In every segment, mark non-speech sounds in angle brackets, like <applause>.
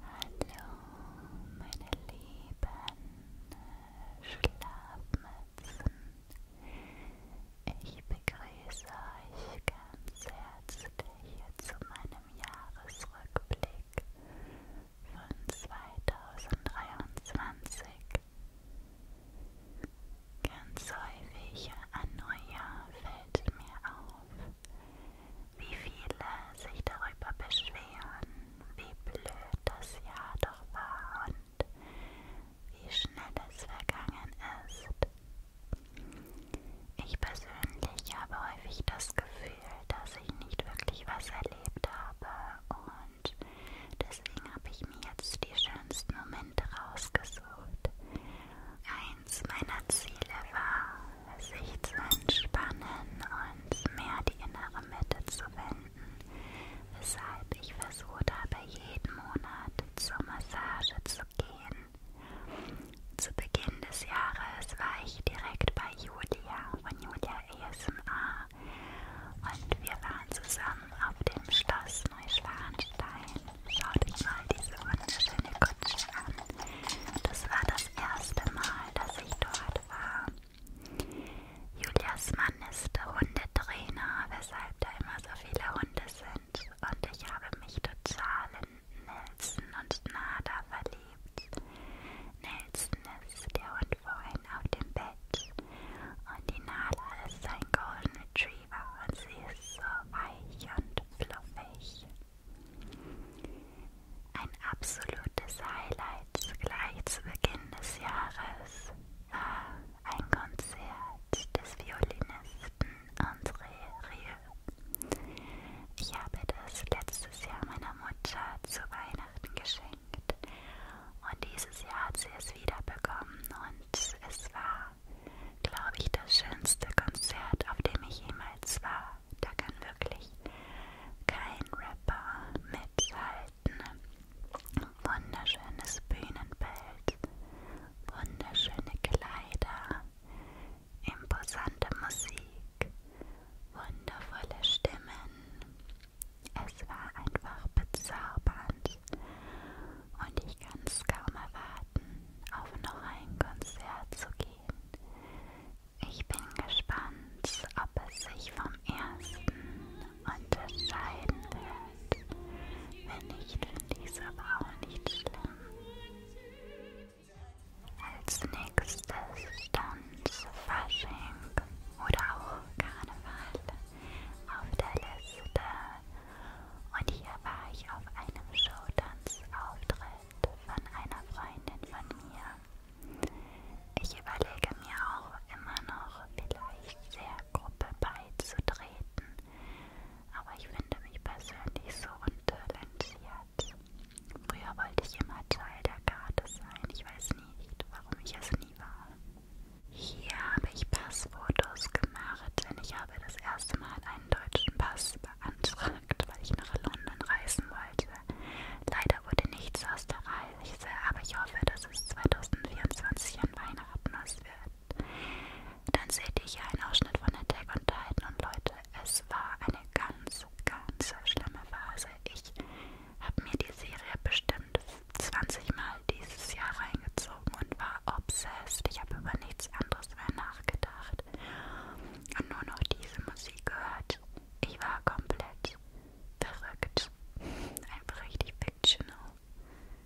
Hallo meine lieben Schlafmützen. Ich begrüße euch ganz herzlich zu meinem Jahresrückblick von 2023. Ganz häufig an Neujahr fällt mir auf, wie viele sich darüber beschweren, wie blöd das Jahr doch war und wie schnell es vergangen ist. Ich persönlich habe häufig das Gefühl, dass ich nicht wirklich was erlebt habe und deswegen habe ich mir jetzt die schönsten Momente rausgesucht. Eins meiner Ziele war, sich zu entspannen und mehr die innere Mitte zu finden, weshalb ich versuche dabei jeden Monat zur Massage zu gehen. Zu Beginn des Jahres war ich direkt bei Julia von Julia ASMR und wir waren zusammen auf dem Schloss Neuschwanstein. Schaut euch mal diese wunderschöne Kutsche an. Das war das erste Mal, dass ich dort war. Julias Mann ist Hundetrainer, weshalb da immer so viele Hunde sind. Und ich habe mich total in Nelson und Nada verliebt. Nelson ist der Hund vorhin auf dem Bett. Und die Nada ist sein Golden Retriever und sie ist so weich und fluffig. Ein absolutes Highlight gleich zu Beginn des Jahres war ein Konzert des Violinisten André Rieu. Ich habe das letztes Jahr meiner Mutter zu Weihnachten geschenkt und dieses Jahr hat sie es wieder bekommen und es war, glaube ich, das schönste Konzert, auf dem ich jemals war da kann wirklich kein Rapper mithalten. Wunderschönes Bühnenbild, wunderschöne Kleider, imposante Musik, wundervolle Stimmen. Es war einfach bezaubernd und ich kann es kaum erwarten, auf noch ein Konzert zu gehen. Ich bin gespannt, ob es sich vom ersten unterscheiden wird. Wenn nicht, finde ich es aber auch nicht schlimm. Als nächstes stand Fasching oder auch Karneval auf der Liste und hier war ich auf einem Showtanzauftritt von einer Freundin von mir. Ich überlege mir auch immer noch, vielleicht der Gruppe beizutreten, aber ich finde mich persönlich so untalentiert. Früher wollte ich immer Teil der Karte sein, ich weiß nicht, warum ich es nie war. Hier habe ich Passfotos gemacht, denn ich habe das erste Mal einen deutschen Pass beantragt, weil ich nach London reisen wollte. Reise. Leider wurde nichts aus der Reise, aber ich hoffe, dass es 2024 an Weihnachten was wird. Dann seht ihr hier einen Ausschnitt von Attack on Titan und Leute, es war eine ganz, ganz schlimme Phase. Ich habe mir die Serie bestimmt 20 Mal dieses Jahr reingezogen und war obsessed. Ich habe über nichts anderes mehr nachgedacht gehört und nur noch diese Musik gehört. Ich war komplett verrückt. Einfach richtig fictional.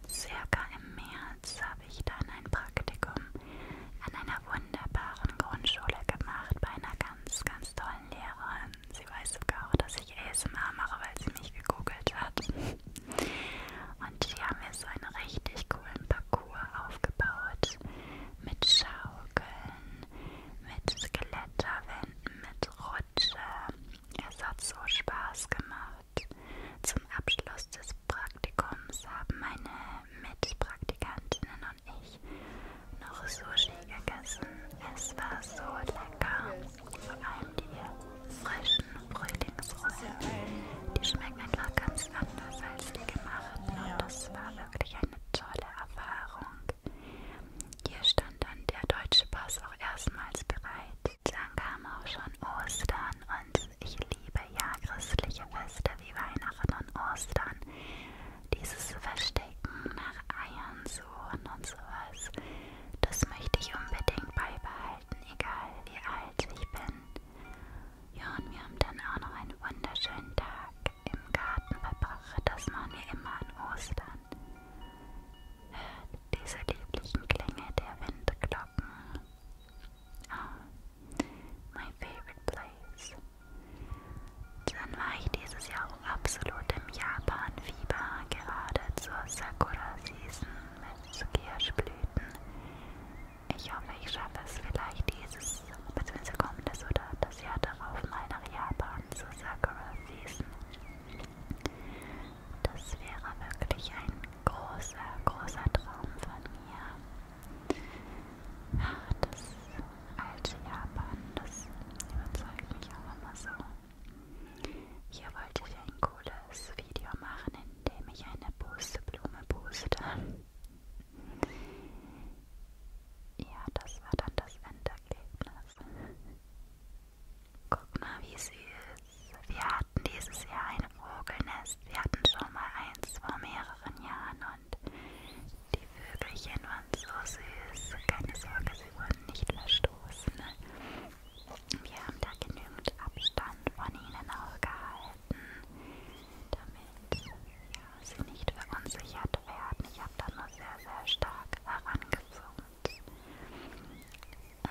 Circa im März habe ich dann ein Praktikum an einer wunderbaren Grundschule gemacht bei einer ganz, ganz tollen Lehrerin. Sie weiß sogar auch, dass ich ASMR mache, weil sie mich gegoogelt hat. Und die haben mir so einen richtig coolen Papier Figur aufgebaut mit Schaukeln, mit Skletterwänden, mit Rutsche. Es hat so Spaß gemacht. Zum Abschluss des Praktikums haben meine Mitpraktikantinnen und ich noch Sushi gegessen. Es war so lecker. Vor allem die frischen Frühlingsrollen. Die schmecken einfach ganz anders als die gemachten. Und das war wirklich eine tolle Erfahrung. Hier stand dann der deutsche Pass auch erstmals bereit. Dann kam auch schon Ostern und ich liebe ja christliche Feste wie Weihnachten und Ostern. Dieses Verstecken nach Eiern suchen und sowas, das möchte ich unbedingt beibehalten, egal wie alt ich bin. Ja, und wir haben dann auch noch einen wunderschönen Tag im Garten verbracht. Das machen wir immer an Ostern. Hört diese lieblichen Klänge der Windglocken. Oh, my favorite place. Dann war ich dieses Jahr auch absolut im Japan-Fieber, gerade zur Sakura-Season mit Kirschblüten. Ich hoffe, ich schaffe es vielleicht dieses bzw. kommendes oder das Jahr darauf mal nach Japan zu Sakura Season. Das wäre wirklich ein großer, großer Traum von mir. Ach, das alte Japan, das überzeugt mich auch immer so. Hier wollte ich ein cooles Video machen, in dem ich eine Pusteblume puste. Ja, das war dann das Endergebnis. Guck mal, wie süß. Wir hatten dieses Jahr ein Vogelnest. Wir hatten schon mal eins vor mehreren Jahren und die Vögelchen waren so süß. Keine Sorge, sie wurden nicht verstoßen. Ne? Wir haben da genügend Abstand von ihnen auch gehalten damit ja, sie nicht verunsichert werden. Ich habe da nur sehr, sehr stark herangezoomt.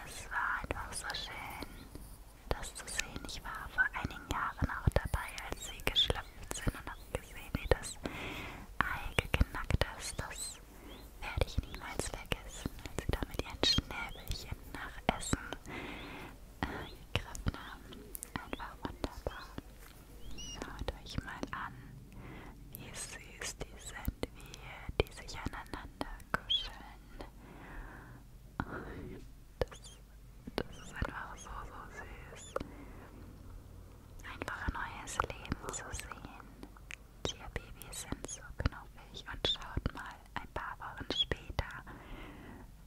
Es war einfach so schön, das zu sehen. Ich war vor einigen Jahren auch dabei, als sie geschlüpft sind und habe gesehen, wie das Ei geknackt ist. Das werde ich niemals vergessen, als sie da mit ihren Schnäbelchen nach Essen äh, gegriffen haben. Einfach wunderbar. Schaut euch mal an, wie süß die sind, wie die sich aneinander kuscheln. Das, das ist einfach so, so süß. Einfach ein neues Leben zu sehen. Tierbabys sind so knuffig und schaut mal ein paar Wochen später,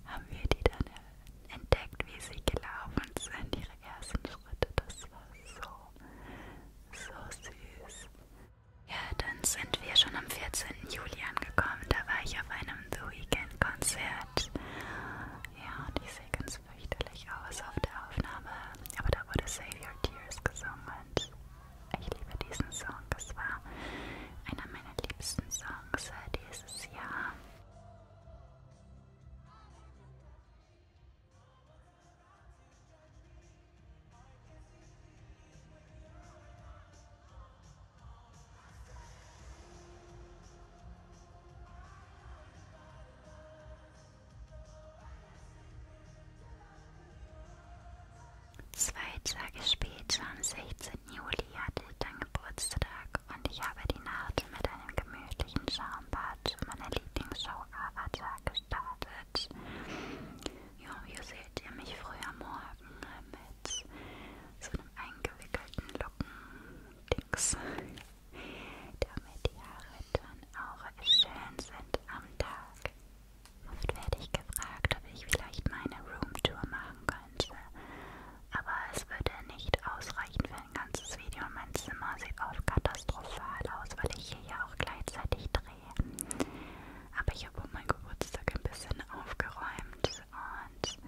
haben wir die dann äh, entdeckt, wie sie gelaufen sind, ihre ersten Schritte. Das war so, so süß. Ja, dann sind wir schon am 14. Juli angekommen. Da war ich auf einem The Weekend-Konzert. Ja, und ich sehe ganz fürchterlich aus auf der Aufnahme. Aber da wurde Save Your Tears gesungen. Und ich liebe diesen Song. Es war einer meiner liebsten Songs äh, dieses Jahr. Zwei Tage später, am 16. Juli, die hatte dann Geburtstag und ich habe die Nacht mit einem gemütlichen Schaumbad zu meiner Lieblingsshow Avatar gestartet. Ja, hier seht ihr mich früh am Morgen mit so einem eingewickelten Locken-Dings, damit die Haare dann auch schön sind am Tag. Oft werde ich gefragt, ob ich vielleicht meine Roomtour machen könnte aber es würde nicht ausreichen für ein ganzes Video und mein Zimmer sieht oft katastrophal aus, weil ich hier ja auch gleichzeitig drehe. Aber ich habe um meinen Geburtstag ein bisschen aufgeräumt und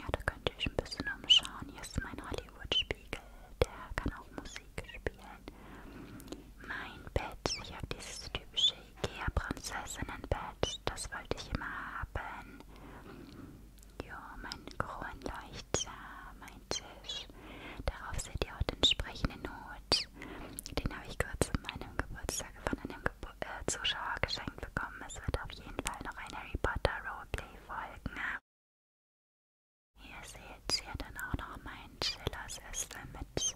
ja, da könnt ihr euch ein bisschen umschauen. Hier ist mein Hollywood-Spiegel, der kann auch Musik spielen. Mein Bett, ich habe dieses typische Ikea-Prinzessinnenbett, das wollte ich immer haben. Ja, mein Kron leuchtet, mein Tisch. Darauf seht ihr auch den entsprechenden Not. Den habe ich kurz zu meinem Geburtstag von einem Gebur äh, Zuschauer geschenkt bekommen. Es wird auf jeden Fall noch ein Harry Potter Roleplay folgen. Hier seht ihr dann auch noch meinen Chillersessel mit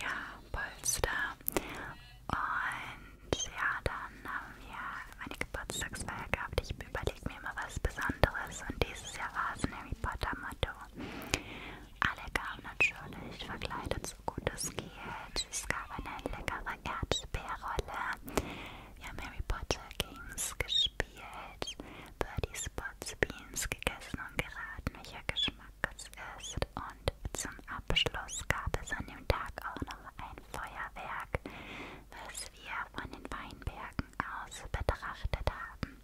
ja, Polster. Und ja, dann haben wir meine Geburtstagsfeier gehabt. Ich überlege mir immer was Besonderes und dieses Jahr war es ein Harry Potter Motto. Alle kamen natürlich verkleidet, so gut es geht. Es gab eine leckere Erdbeerrolle. Wir haben Harry Potter Games gespielt, Birdie Spots Beans gegessen und geraten, welcher Geschmack es ist. Und zum Abschluss gab es an dem Tag auch noch ein Feuerwerk was wir von den Weinbergen aus betrachtet haben.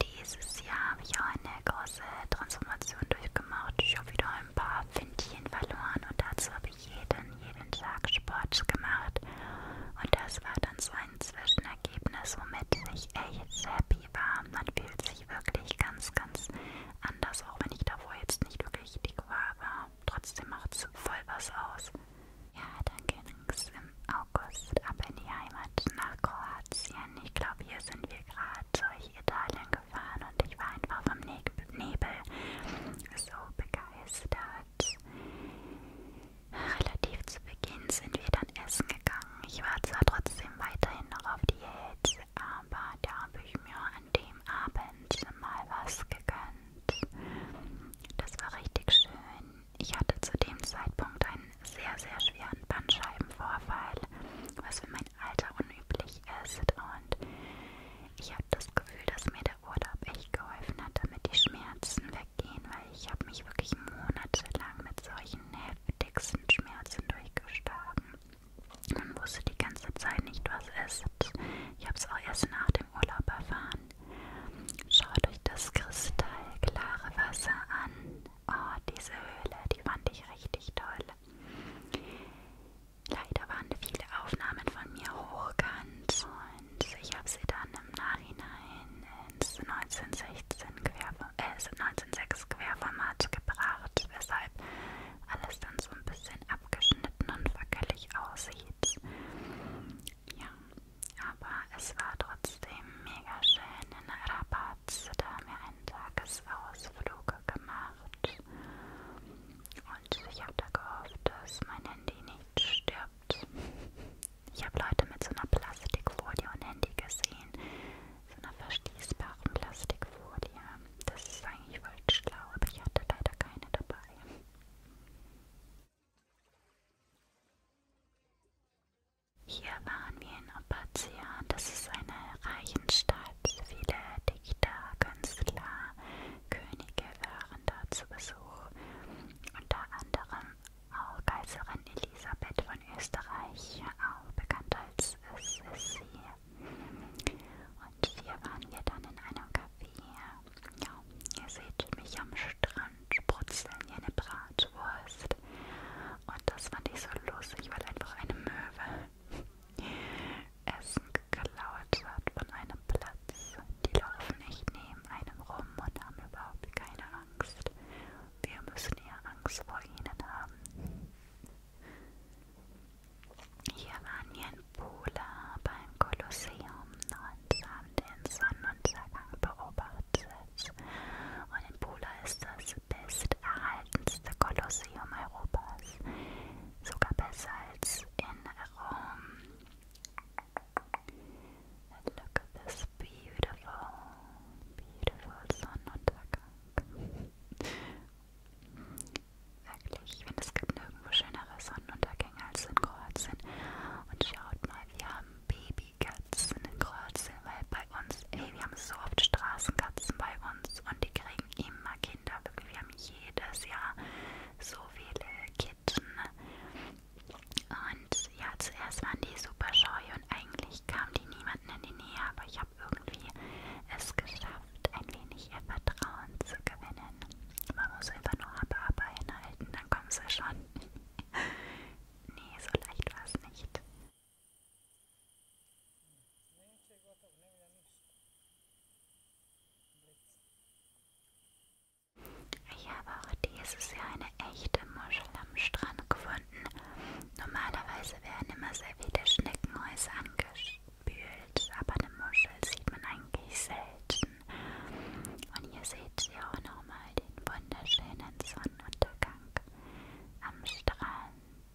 Dieses Jahr habe ich auch eine große Transformation durchgemacht. Ich habe wieder ein paar Pfindchen verloren und dazu habe ich jeden, jeden Tag Sport gemacht. Und das war dann so ein Zwischenergebnis, womit ich echt happy war. Man fühlt sich wirklich ganz, ganz anders, auch wenn ich davor jetzt nicht wirklich dick war, aber aber trotzdem macht's voll was aus. Ja, dann ging's im August ab in die Heimat nach Kroatien. Ich glaube, hier sind wir gerade durch Italien gefahren und ich war einfach vom Nebel so begeistert. Relativ zu Beginn sind wir dann essen gegangen. Ich war zwar trotzdem weiterhin noch auf Diät, aber da habe ich mir an dem am Abend mal was gegönnt. Das war richtig schön. Ich hatte zu dem Zeitpunkt einen sehr, sehr schweren Bandscheibenvorfall, was für mein Alter unüblich ist. Und ich habe das Gefühl, dass mir der Urlaub echt geholfen hat, damit die Schmerzen weggehen, weil ich habe mich wirklich monatelang mit solchen heftigsten Schmerzen durchgeschlagen. Man wusste die ganze Zeit nicht, was ist. Ich habe es auch erst nach dem Urlaub erfahren. Schaut euch das kristallklare Wasser an. Oh, diese Höhle, die fand ich richtig toll. Leider waren viele Aufnahmen von mir hochkant und ich habe sie dann im Nachhinein ins 1916 Querform äh, 1906 Querformat gebracht, weshalb alles dann so ein bisschen bisschen abgeschnitten und wackelig aussieht. Ja, aber es war trotzdem mega schön in Rabat. Da haben wir einen Tagesausflug gemacht. Und ich habe da gehofft, dass mein Handy nicht stirbt. Ich habe Leute mit so einer Plastikfolie und Handy gesehen. So einer verschließbaren Plastikfolie das ist eigentlich voll schlau, aber ich hatte leider keine dabei. Hier waren wir in Opatia, das ist eine Reichenstadt. Viele Dichter, Künstler, Könige waren da zu Besuch. Unter anderem auch Kaiserin Elisabeth von Österreich, auch bekannt als Sissi und hier waren wir dann in einem Café. Ja, ihr seht mich am Strand brutzeln hier eine Bratwurst. Und das fand ich so lustig, weil einfach eine Möwe <laughs> Essen geklaut hat von einem Platz. Die laufen nicht neben einem rum und haben überhaupt keine Angst. Wir müssen ja Angst vor ihnen haben. Hier waren wir in Pula beim Kolosseum und haben den Sonnenuntergang beobachtet. Und in Pula ist das besterhaltenste Kolosseum Europas. Sogar besser als in Rom. And look at this beautiful, beautiful Sonnenuntergang. Wirklich, ich finde, es gibt nirgendwo schönere Sonnenuntergänge als in Kroatien. Und schaut mal, wir haben Babykatzen in Kroatien, weil bei uns, ey, wir haben so oft Straßenkatzen bei uns und die kriegen immer Kinder. Wirklich, wir haben jedes Jahr so viele Kitten. Und ja, zuerst waren die super scheu und eigentlich kamen die niemanden in die Nähe, aber ich habe irgendwie es geschafft schafft, ein wenig ihr Vertrauen zu gewinnen. Man muss einfach nur aber, aber hinhalten, dann kommen sie schon. <laughs> nee, so leicht war es nicht. Ich habe auch dieses Jahr eine echte Muschel am Strand gefunden. Normalerweise werden immer sehr viele Schneckenhäuser angeschickt gespült, aber eine Muschel sieht man eigentlich selten. Und hier seht ihr auch nochmal den wunderschönen Sonnenuntergang am Strand.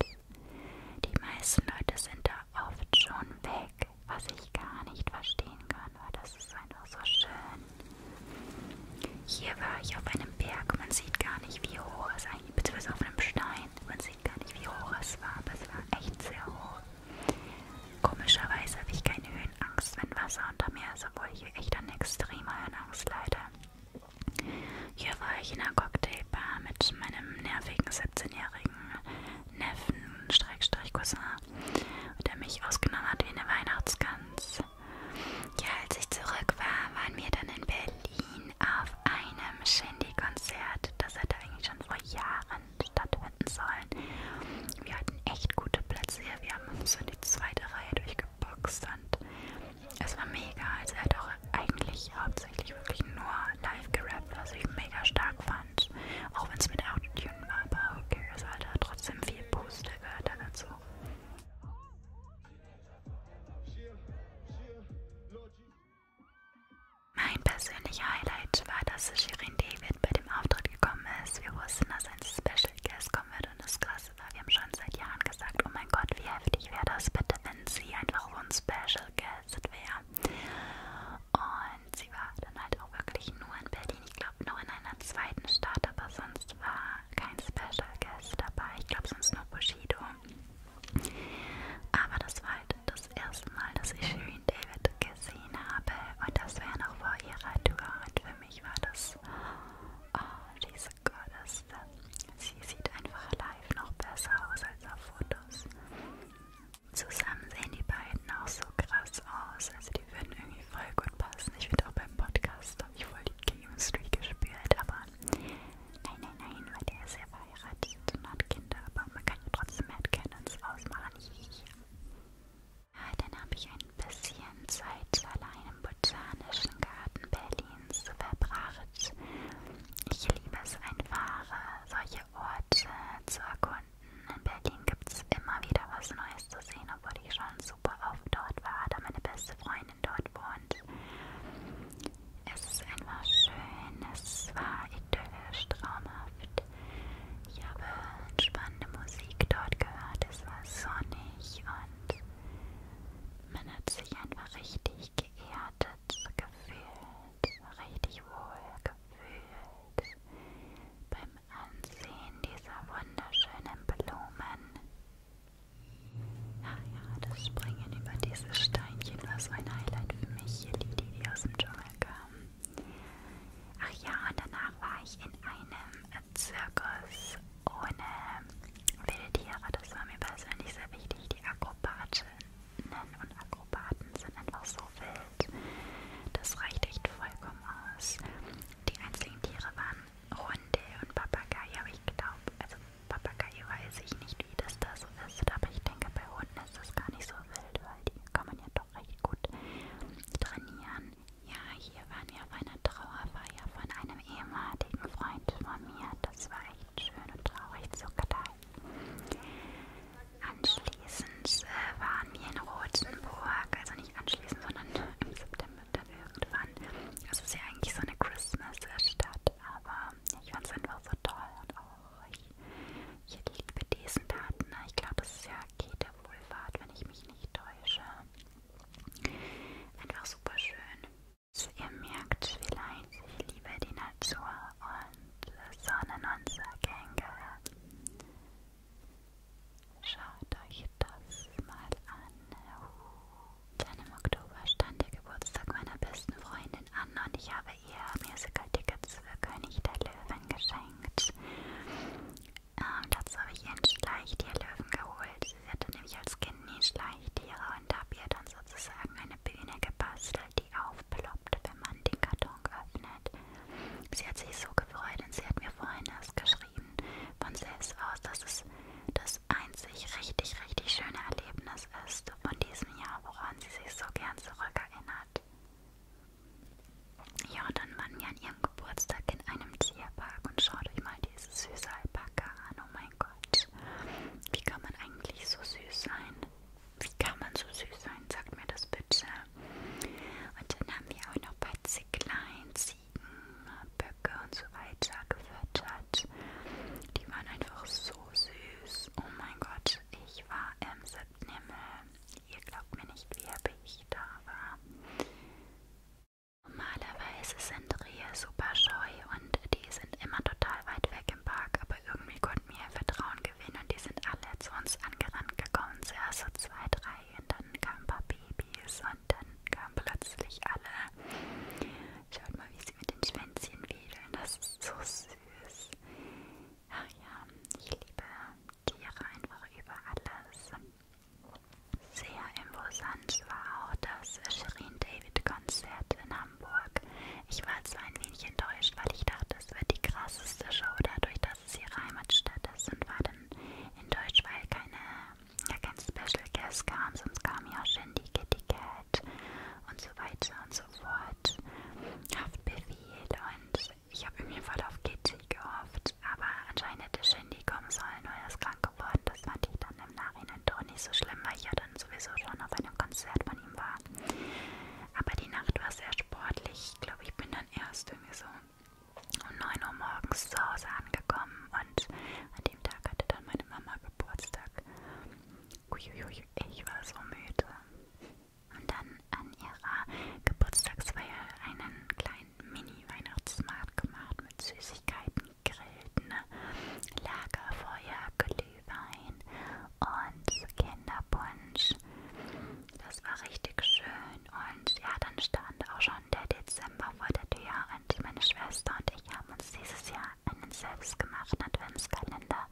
Die meisten Leute sind da oft schon weg, was ich gar nicht verstehen kann, weil das ist einfach so schön. Hier war ich auf einem Berg, man sieht gar nicht, wie hoch es eigentlich, beziehungsweise auf einem Stein rein. Man sieht gar nicht, wie hoch es war, aber es war echt sehr hoch. Komischerweise habe ich keine Höhenangst, wenn Wasser unter mir ist, obwohl ich echt an extremer Höhenangst leide. Hier war ich in einer Cocktailbar mit meinem nervigen 17-jährigen Neffen, Streckstrich Cousin, der mich ausgenommen hat wie eine Weihnachtsgans. Ja, als ich zurück war, waren wir dann in Berlin auf einem Shindy-Konzert. Das hatte eigentlich schon vor Jahren stattfinden sollen. Wir hatten echt gute Plätze hier. Wir haben uns in die zweite Reihe durchgeboxt und es war mega. Also er hat auch eigentlich hauptsächlich wirklich nur live gerappt, was ich mega stark fand. Auch wenn es mit Autotune war, aber okay, es hat er trotzdem viel Booster gehört da dazu. Mein persönlicher Highlight war, dass Shirin David bei dem Auftritt gekommen ist. Wir wussten, dass ein Special Guest kommen wird und das Krasse war, wir haben schon seit Jahren gesagt, oh mein Gott, wie heftig wäre das bitte, wenn sie einfach so ein Special Guest wäre. Und sie war dann halt auch wirklich nur in Berlin, ich glaube nur in einer zweiten Stadt, aber sonst war kein Special Guest dabei. Ich glaube sonst nur Bushido. Aber das war halt das erste Mal, dass ich Shirin David gesehen habe. Und das wäre noch vor ihrer Tour. Und für mich war das, oh, diese Gottes. Sie sieht einfach live noch besser aus als auf Fotos. Zusammen sehen die beiden auch so krass aus. Also die würden irgendwie voll gut passen. Ich finde auch beim Podcast habe ich voll die Chemistry gespürt. Aber nein, nein, nein, weil der ist ja verheiratet und hat Kinder, aber man kann ja trotzdem Headcanons ausmachen. Ja, dann habe ich ein bisschen Zeit allein im Botanischen Garten Berlins verbracht. Ich liebe es einfach, solche Orte zu erkunden. In Berlin gibt es immer wieder was Neues zu sehen, obwohl ich schon super oft dort war, da meine beste Freundin dort wohnt. Es ist einfach schön, es war idyllisch, traumhaft. Ich habe spannende Musik dort gehört, es war sonnig und man hat sich einfach richtig geerdet gefühlt, richtig wohl gefühlt beim Ansehen dieser wunderschönen Blumen. Ach ja, das Springen über diese Steinchen war so ein Highlight für mich. Hier die, die aus dem Dschungel Folge. Ach ja, und danach war ich in einem Zirkus ohne Wildtiere. Das war mir persönlich sehr wichtig. Die Akrobatinnen und Akrobaten sind einfach so wild. Das reicht echt vollkommen aus. Die einzelnen Tiere waren Hunde und Papageien, aber ich glaube, also Papagei weiß ich nicht, wie das da so ist, aber ich denke, bei Hunden ist das gar nicht so Wild, weil die kann man ja doch recht gut trainieren. Ja, hier waren wir auf einer Trauerfeier von einem ehemaligen Freund von mir. Das war echt schön und traurig sogar da. Anschließend äh, waren wir in Rothenburg, also nicht anschließend, sondern im September dann irgendwann. Das also ist ja eigentlich so eine Christmas-Stadt, aber ich fand es einfach so toll und auch ich liebe diesen Daten. Ich glaube, das ist ja Kete Wohlfahrt, wenn ich mich nicht täusche. Einfach super schön. Also ihr merkt vielleicht, ich liebe die Natur halt und Sonnen unserer Gänge. Schaut euch das mal an. Dann im Oktober stand der Geburtstag meiner besten Freundin an und ich habe ihr Musical-Tickets für König der Löwen geschenkt. Ähm, dazu habe ich ihr ein Schleichtier Löwen geholt. Sie hatte nämlich als Kind nie Schleichtiere und habe ihr dann sozusagen eine Bühne gebastelt, die aufploppt, wenn man den Karton öffnet. Sie hat sich so gefreut und sie hat mir vorhin erst geschrieben von selbst aus, dass es das einzig richtig, richtig schöne Erlebnis ist von diesem Jahr, woran sie sich so gern zurückerinnert hat. Jordan war ja an ihrem Geburtstag in einem Tierpark und schaut euch mal diese süße Alpaka an. Oh mein Gott. Wie kann man eigentlich so süß sein? Wie kann man so süß sein? Sagt mir das bitte. Und dann haben wir auch noch bei Zicklein, Ziegen, Böcke und so weiter gefüttert. Die waren einfach so süß. Oh mein Gott ich war im siebten Himmel. Ihr glaubt mir nicht, wie happy ich da war. Normalerweise sind Rehe super scheu und die sind immer total weit weg im Park, aber irgendwie konnten wir ihr Vertrauen gewinnen und die sind alle zu uns angerannt gekommen. Zuerst so zwei, drei und dann kamen ein paar Babys und dann kamen plötzlich alle. Schaut mal, wie sie mit den Schwänzchen wedeln, das ist so süß. Ach ja, ich liebe Tiere einfach über alles. Sehr imposant war auch das Shirin David Konzert in Hamburg. Ich war zwar ein wenig enttäuscht, weil ich dachte, es wird die krasseste Show dadurch, dass es ihre Heimatstadt ist und war dann enttäuscht, weil keine, ja, kein Special Guest kam, sonst kam ja auch Shindy Kitty Cat Haft und so weiter und so fort. Haftbefehl und ich habe irgendwie voll auf Kitty gehofft, aber anscheinend hätte Shindy kommen sollen, weil er ist krank geworden. Das fand ich dann im Nachhinein doch nicht so schlimm, weil ich ja dann sowieso schon auf einem Konzert von ihm war. Aber die Nacht war sehr sportlich. Ich glaube, ich bin dann erst irgendwie so um 9 Uhr morgens zu Hause angekommen und an dem Tag hatte dann meine Mama Geburtstag. Uiuiui, ich war so müde und dann an ihrer Geburtstagsfeier einen kleinen Mini-Weihnachtsmarkt gemacht mit Süßigkeiten, Grillten, ne? Lagerfeuer, Glühwein und Kinderpunsch. Das war richtig schön und ja, dann stand auch schon der Dezember vor der Tür und meine Schwester und ich haben uns dieses Jahr einen selbstgemachten Adventskalender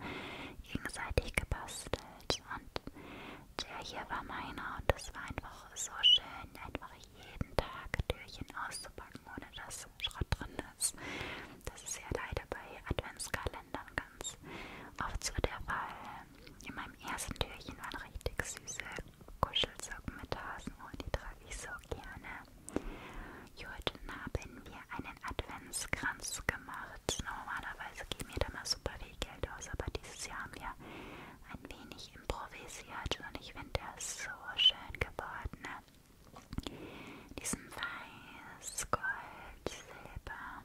gegenseitig gebastelt und der hier war meiner und das war einfach so schön, einfach jeden Tag Türchen auszupacken, ohne dass Schrott drin ist. Das ist ja leider bei Adventskalendern ganz oft so der Fall. In meinem ersten Türchen waren richtig süße Kuschelsocken mit Hasen und die trage ich so gerne. Jut, haben wir eine einen Adventskranz gemacht. Normalerweise geben wir da mal super viel Geld aus, aber dieses Jahr haben wir ein wenig improvisiert und ich finde der so schön geworden. Ne? Diesen Weiß, Gold, Silber.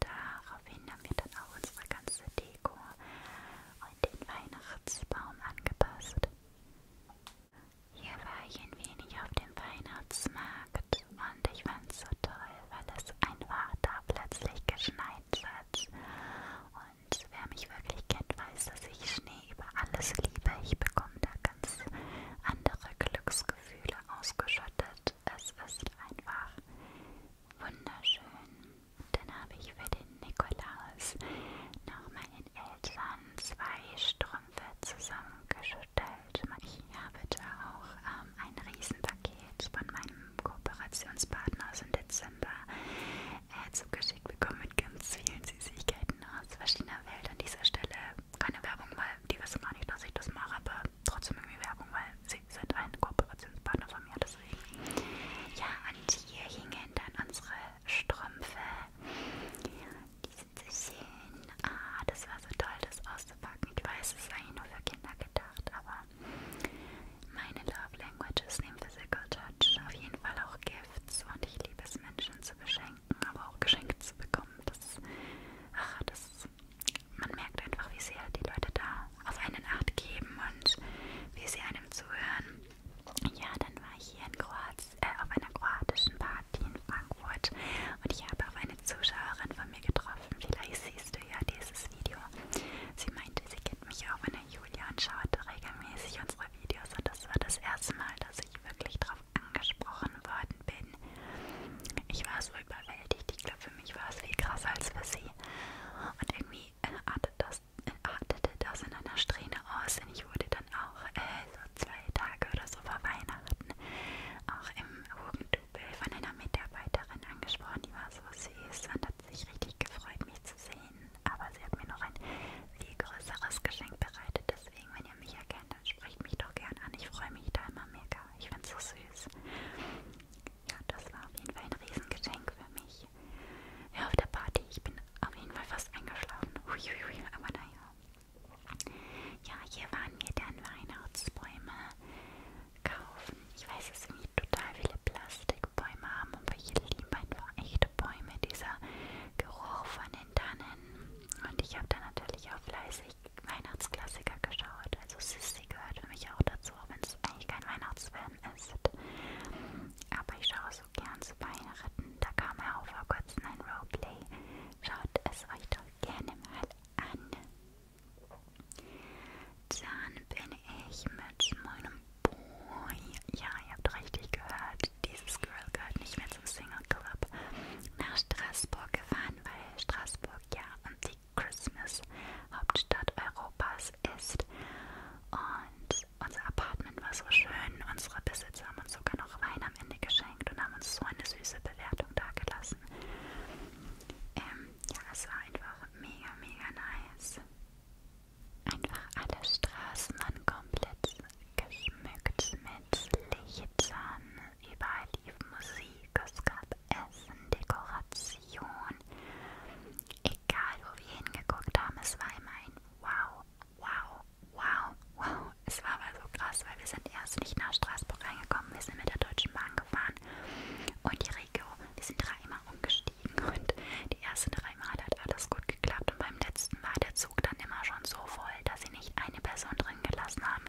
Daraufhin haben wir dann auch unsere ganze Deko und den Weihnachtsbaum angepasst. Hier war ich ein wenig auf dem Weihnachtsmarkt und ich fand's so toll, weil es einfach da plötzlich geschneit hat. Und wer mich wirklich kennt, weiß, dass ich Schnee über alles liebe. Ich bekomme da ganz andere Glücksgefühle ausgeschüttet. Es ist einfach wunderschön. Dann habe ich für den Nikolaus noch meinen Eltern zwei Strümpfe zusammengeschüttet bestellt. Ich habe da auch ähm, ein Riesenpaket von meinem Kooperationspartner aus im Dezember äh, zugeschickt bekommen mit ganz vielen Süßigkeiten aus verschiedener Welt. An dieser Stelle keine Werbung, weil die wissen gar nicht, dass ich das mache, aber trotzdem irgendwie Werbung, weil sie sind ein Kooperationspartner von mir, deswegen. Ja, und hier hingen dann unsere Strümpfe. Die sind so schön. Ah, das war so toll, das auszupacken. Ich weiß, es ist eigentlich nur für Kinder gedacht, aber meine Love Language ist neben Physical Touch auf jeden Fall auch Gifts und ich liebe es, Menschen zu beschenken, aber auch Geschenke zu bekommen. Das ist, ach, das ist, man merkt einfach, wie sehr die Leute da auf einen Acht geben und wie sie einem zuhören. Ja, dann war ich hier in Kroatien, äh, auf einer kroatischen Party in Frankfurt und ich habe auf eine eine Zuschauerin von mir getroffen. Vielleicht siehst du ja dieses Video. Sie meinte, sie kennt mich auch in der Julia und schaut regelmäßig unsere Videos und das war das erste Mal, dass ich wirklich darauf angesprochen worden bin. Ich war so überwältigt. Ich glaube, für mich war es viel krasser als für sie. Und irgendwie äh, artete das, äh, artete das in einer Strähne aus, denn ich wurde dann auch äh, so zwei Tage oder so vor Weihnachten auch im Double von einer Mitarbeiterin angesprochen, die war so süß und hat sich richtig gefreut, mich zu sehen. Aber sie hat mir noch ein viel größeres Geschenk bereitet. Deswegen, wenn ihr mich erkennt, dann sprecht mich doch gern an. Ich freue mich da immer mega. Ich find's so süß. Ja, das war auf jeden Fall ein Riesengeschenk für mich. Ja, auf der Party, ich bin auf jeden Fall fast eingeschlafen. Uiuiui, aber naja. Ja, hier waren wir dann Weihnachtsbäume kaufen. Ich weiß, es sind total viele Plastikbäume haben, aber ich liebe einfach echte Bäume, dieser Geruch von den Tannen. Und ich habe dann natürlich auch fleißig Weihnachtsklassiker geschaut. Also Sissy gehört für mich auch dazu, auch wenn es eigentlich kein Weihnachtsfilm ist. Aber ich schaue so gern zu Weihnachten. Da kam er auch vor kurzem ein Roleplay. Schaut es euch doch gerne mal an. Dann bin ich mit meinem Boy. Ja, ihr habt richtig gehört. Dieses Girl gehört nicht mehr zum Single Club. Nach Straßburg gefahren, weil Straßburg ja die Christmas-Hauptstadt Europas ist. Und unser Apartment war so schön. Unsere Besitzer haben uns sogar noch Wein am Ende geschenkt und haben uns so eine süße Bewertung dagelassen lassen. Ähm, ja, es war einfach mega, mega nice. Einfach alle Straßen waren komplett geschmückt mit Lichtern. Überall lief Musik, es gab Essen, Dekoration. Egal, wo wir hingeguckt haben, es war immer ein Wow, Wow, Wow, Wow, es war aber so krass, weil wir sind erst nicht nach Straßburg reingekommen, wir sind mit der Deutschen Bahn gefahren und die Regio, wir sind dreimal umgestiegen <laughs> und die ersten drei Male hat alles gut geklappt und beim letzten war der Zug dann immer schon so voll, dass sie nicht eine Person drin gelassen haben,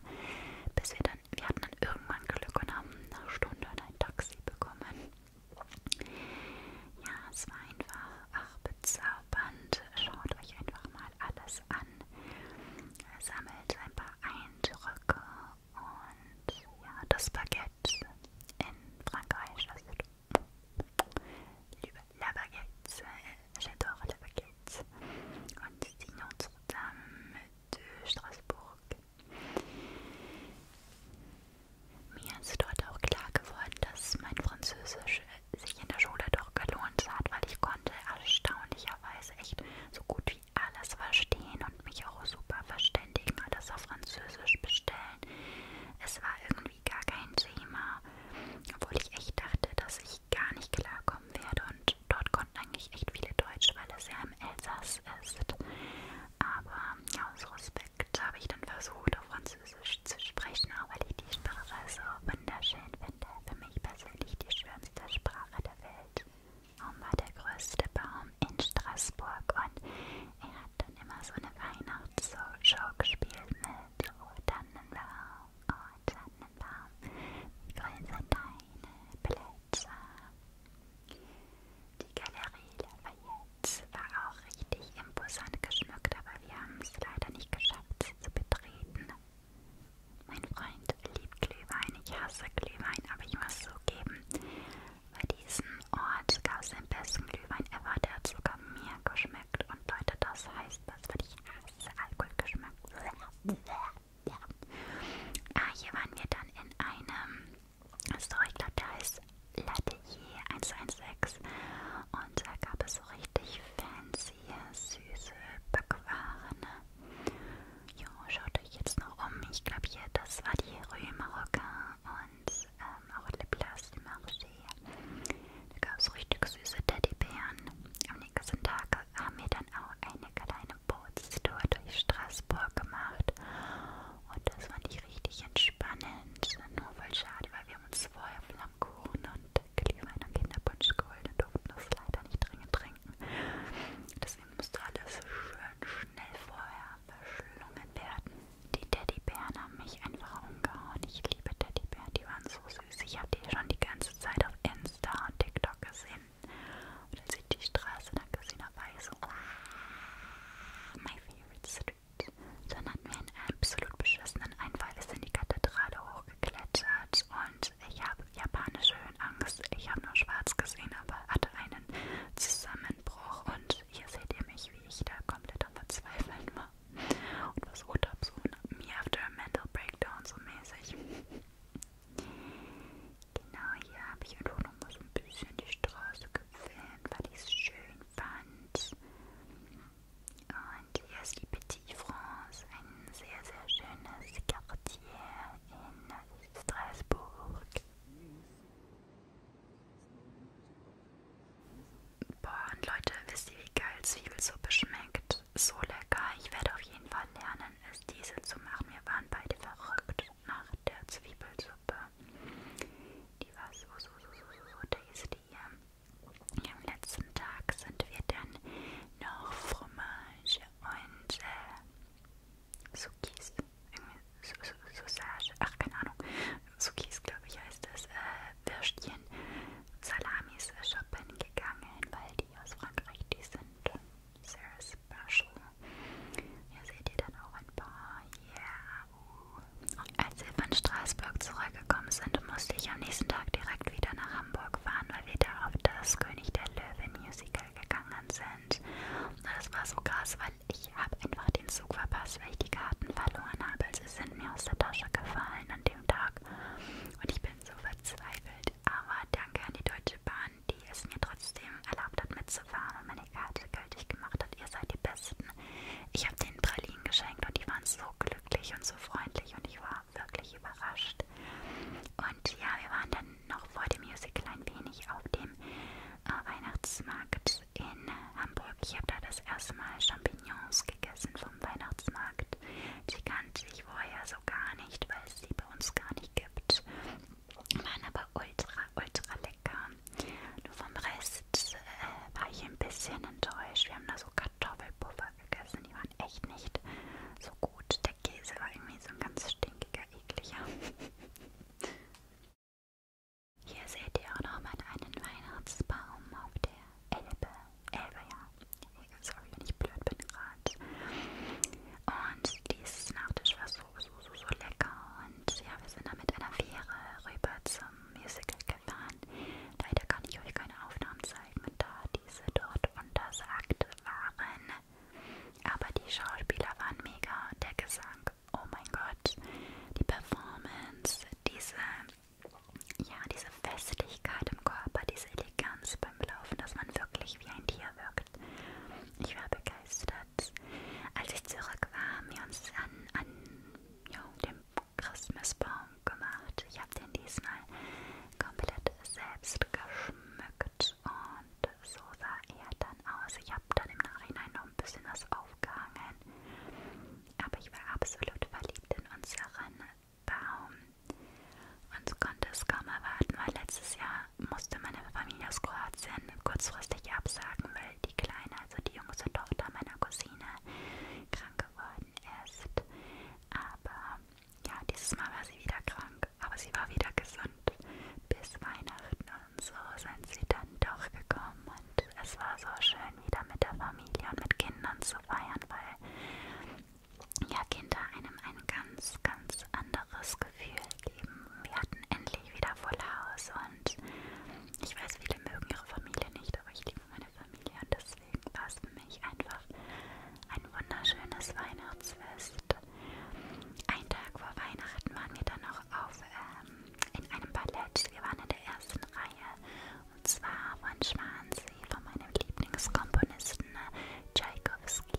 bis wir dann, wir hatten dann irgendwann Glück und haben eine Stunde ein Taxi bekommen. Ja, es war einfach, ach bezaubernd, schaut euch einfach mal alles an man sammelt ein paar Eindrücke und ja, das Baguette in Frankreich, also liebe La Baguette, j'adore La Baguette und die Notre-Dame de Straßburg. Mir ist dort auch klar geworden, dass mein Französisch sich in der Schule doch gelohnt hat, weil ich konnte erstaunlicherweise echt so gut wie alles verstehen und mich auch super verständigen und das auf Französisch bestellen. Es war irgendwie gar kein Thema, obwohl ich echt dachte, dass ich gar nicht klarkommen werde und dort konnten eigentlich echt viele Deutsch, weil es ja im Elsass ist. Aber ja, aus Respekt habe ich dann versucht, auf Französisch zu sprechen, auch weil ich die Sprache so wunderschön finde. Für mich persönlich die schöne bekanntester Sprache der Welt. Baum war der größte Baum in Straßburg und er hat dann immer so eine Weihnachtsshow gespielt mit so oh, Tannenbaum, oh Tannenbaum, wie grün sind deine Blätter. Die Galerie Lafayette war auch richtig imposant geschmückt, aber wir haben es leider nicht geschafft, sie zu betreten. Mein Freund liebt Glühwein, ich hasse Glühwein, aber ich muss zugeben, bei diesem Ort gab es den besten Glühwein ever, der hat sogar mir geschmeckt. Und Leute, das heißt, das würde ich hasse, Alkoholgeschmack. Ja. Ah, hier waren wir dann in einem Store, ich glaube, der heißt Latelier 116. Und da gab es so richtig fancy, süße Backwaren. Jo, schaut euch jetzt noch um. Ich glaube hier, das war die Rue Marocain und ähm, auch Le Place du Marché. Da gab es richtig süße Teddybären. Am nächsten Tag haben wir dann auch eine kleine Bootstour durch Straßburg gemacht. Und das fand ich richtig entspannend. Nur voll schade, weil wir uns vorher Flammkuchen und Glühwein und Kinderpunsch geholt und durften das leider nicht dringend trinken. Deswegen musste alles schön schnell vorher verschlungen werden. Die Teddybären haben mich einfach umgehauen. Ich liebe Teddybären, die waren so süß. Ich habe die schon die ganze Zeit auf Insta und TikTok gesehen. Und als ich die Straße nach Casino war, ich so, my favorite street. Dann hatten wir einen absolut beschissenen Einfall. Wir sind die Kathedrale hochgeklettert und ich habe japanische Höhenangst. Ich habe nur schwarz gesehen, aber hatte einen Zusammenbruch. Und hier seht ihr mich, wie ich da komplett am Verzweifeln war. Und versucht habe, so mir after a mental breakdown so mäßig. Genau, hier habe ich einfach nochmal so ein bisschen die Straße gefilmt, weil ich es schön fand. Und hier ist die Petit Petit France, ein sehr, sehr schönes Quartier in Straßburg. Boah, und Leute, wisst ihr, wie geil Zwiebelsuppe schmeckt? So lecker. Ich werde auf jeden Fall lernen, es diese zu machen. Wir waren beide verrückt nach der Zwiebelsuppe. Die war so, so, so, so, so, so tasty. Am letzten Tag sind wir dann noch Fromage und äh, Sukis, irgendwie Su Su Sausage, ach keine Ahnung, Sukis glaube ich heißt das, äh, Würstchen, Salamis äh, shoppen gegangen, weil die aus Frankreich, die sind sehr special. Hier seht ihr dann auch ein paar, yeah, uh. Und als wir von Straßburg zurückgekommen sind, musste ich am nächsten Tag direkt wieder nach Hamburg fahren, mal wieder auf das König der Löwen Musical gegangen sind. Und das war so krass, weil ich habe einfach den Zug verpasst, weil ich die Karten verloren habe. Sie sind mir aus der Tasche gefallen an dem Tag. Und ich bin so verzweifelt. Aber danke an die Deutsche Bahn, die es mir trotzdem erlaubt hat mitzufahren und meine Karte gültig gemacht hat. Ihr seid die Besten. Ich habe denen Pralinen geschenkt und die waren so glücklich und so freundlich und ich war wirklich überrascht. Und ja, wir waren dann noch vor dem Musical ein wenig auf dem äh, Weihnachtsmarkt in Hamburg. Ich habe da das erste Mal Champignons gegessen vom Weihnachtsmarkt. Die kannte ich vorher so gar nicht, weil es die bei uns gar nicht gibt. Waren aber ultra, ultra lecker. Nur vom Rest äh, war ich ein bisschen enttäuscht. Wir haben da so Kartoffelpuffer super gegessen. Die waren echt nicht so gut. Der Käse war irgendwie so ein ganz stinkiger, ekliger. <laughs> Hier seht ihr auch noch mal einen Weihnachtsbaum auf der Elbe. Elbe, ja. Sorry, wenn ich blöd bin gerade. Und dieses Nachtisch war so, so, so, so lecker. Und ja, wir sind dann mit einer Fähre rüber zum Musical gefahren. Leider kann ich euch keine Aufnahmen zeigen, da diese dort untersagt waren. Aber die Schauspieler waren mega, der Gesang, oh mein Gott, die Performance, diese, ja, diese Festlichkeit im Körper, diese Eleganz beim Laufen, dass man wirklich wie ein Tier wirkt. Ich war begeistert. Als ich zurück war, haben wir uns an, an ja, dem Christmasbaum gemacht. Ich habe den diesmal komplett selbst geschmückt und so sah er dann aus. Ich habe dann im Nachhinein noch ein bisschen was aufgehangen, aber ich war absolut verliebt in unseren Baum und konnte es kaum erwarten, weil letztes Jahr musste meine Familie aus Kroatien kurzfristig absagen, weil die Kleine, also die jüngste Tochter meiner Cousine, krank geworden ist. Aber ja, dieses Mal war sie wieder krank, aber sie war wieder gesund bis Weihnachten und so sind sie dann doch gekommen und es war so schön wieder mit der Familie und mit Kindern zu feiern, weil ja Kinder einem ein ganz, ganz anderes Gefühl geben. Wir hatten endlich wieder voll Haus und ich weiß, viele mögen ihre Familie nicht, aber ich liebe meine Familie und das deswegen war es für mich einfach ein wunderschönes Weihnachtsfest. Ein Tag vor Weihnachten waren wir dann noch auf, ähm, in einem Ballett. Wir waren in der ersten Reihe und zwar von Schwansee, von meinem Lieblingskomponisten ne, Tchaikovsky.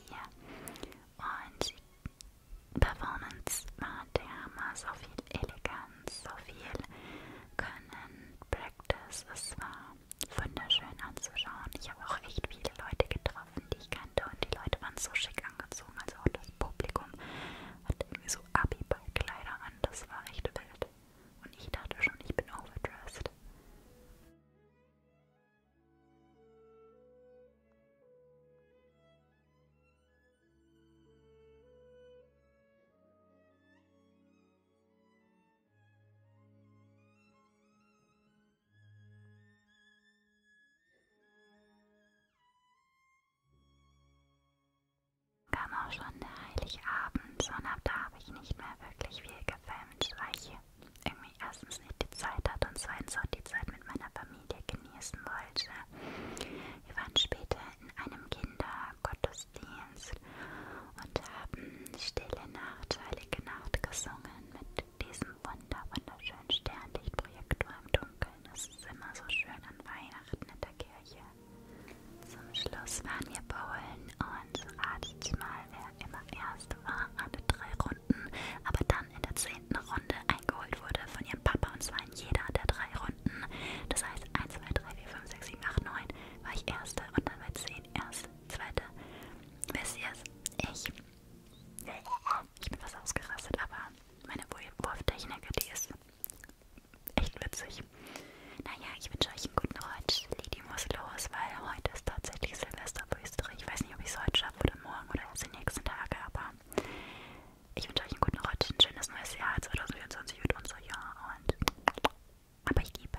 Und die Performance war der Hammer, so viel Eleganz, so viel Können, Practice. Es war wunderschön anzuschauen. Ich habe auch echt viele Leute getroffen, die ich kannte und die Leute waren so schick angezogen. Also auch das Publikum hat irgendwie so Abi-Ball-Kleider an. Das war echt wild. Und ich dachte schon, ich bin overdressed. Kam auch schon der Heiligabend und ab da habe ich nicht mehr wirklich viel gefilmt, weil ich irgendwie erstens nicht die Zeit hatte und zweitens auch die Zeit mit meiner Familie genießen wollte. Wir waren später in einem Kindergottesdienst und haben Stille Nacht, Heilige Nacht gesungen mit diesem wunder wunderschönen Sternlichtprojektor im Dunkeln. Das ist immer so schön an Weihnachten in der Kirche. Zum Schluss waren wir bowlen und ratet mal, wer immer erst war, alle drei Runden, aber dann in der zehnten Runde eingeholt wurde von ihrem Papa und zwar in jeder der drei Runden. Das heißt 1, 2, 3, 4, 5, 6, 7, 8, 9 war ich Erste und dann bei 10 Erste, Zweite Wisst ihr es? Ich. Ich bin was ausgerastet, aber meine Wurftechnik, die ist echt witzig. Naja, ich wünsche euch einen guten Rutsch. Lady muss los, weil heute ist tatsächlich Silvester für Österreich. Ich weiß nicht, ob ich es heute schaffe oder morgen oder erst die nächsten Tage, aber ich wünsche euch einen guten Rutsch, ein schönes neues Jahr. 2024 wird unser Jahr und aber ich liebe.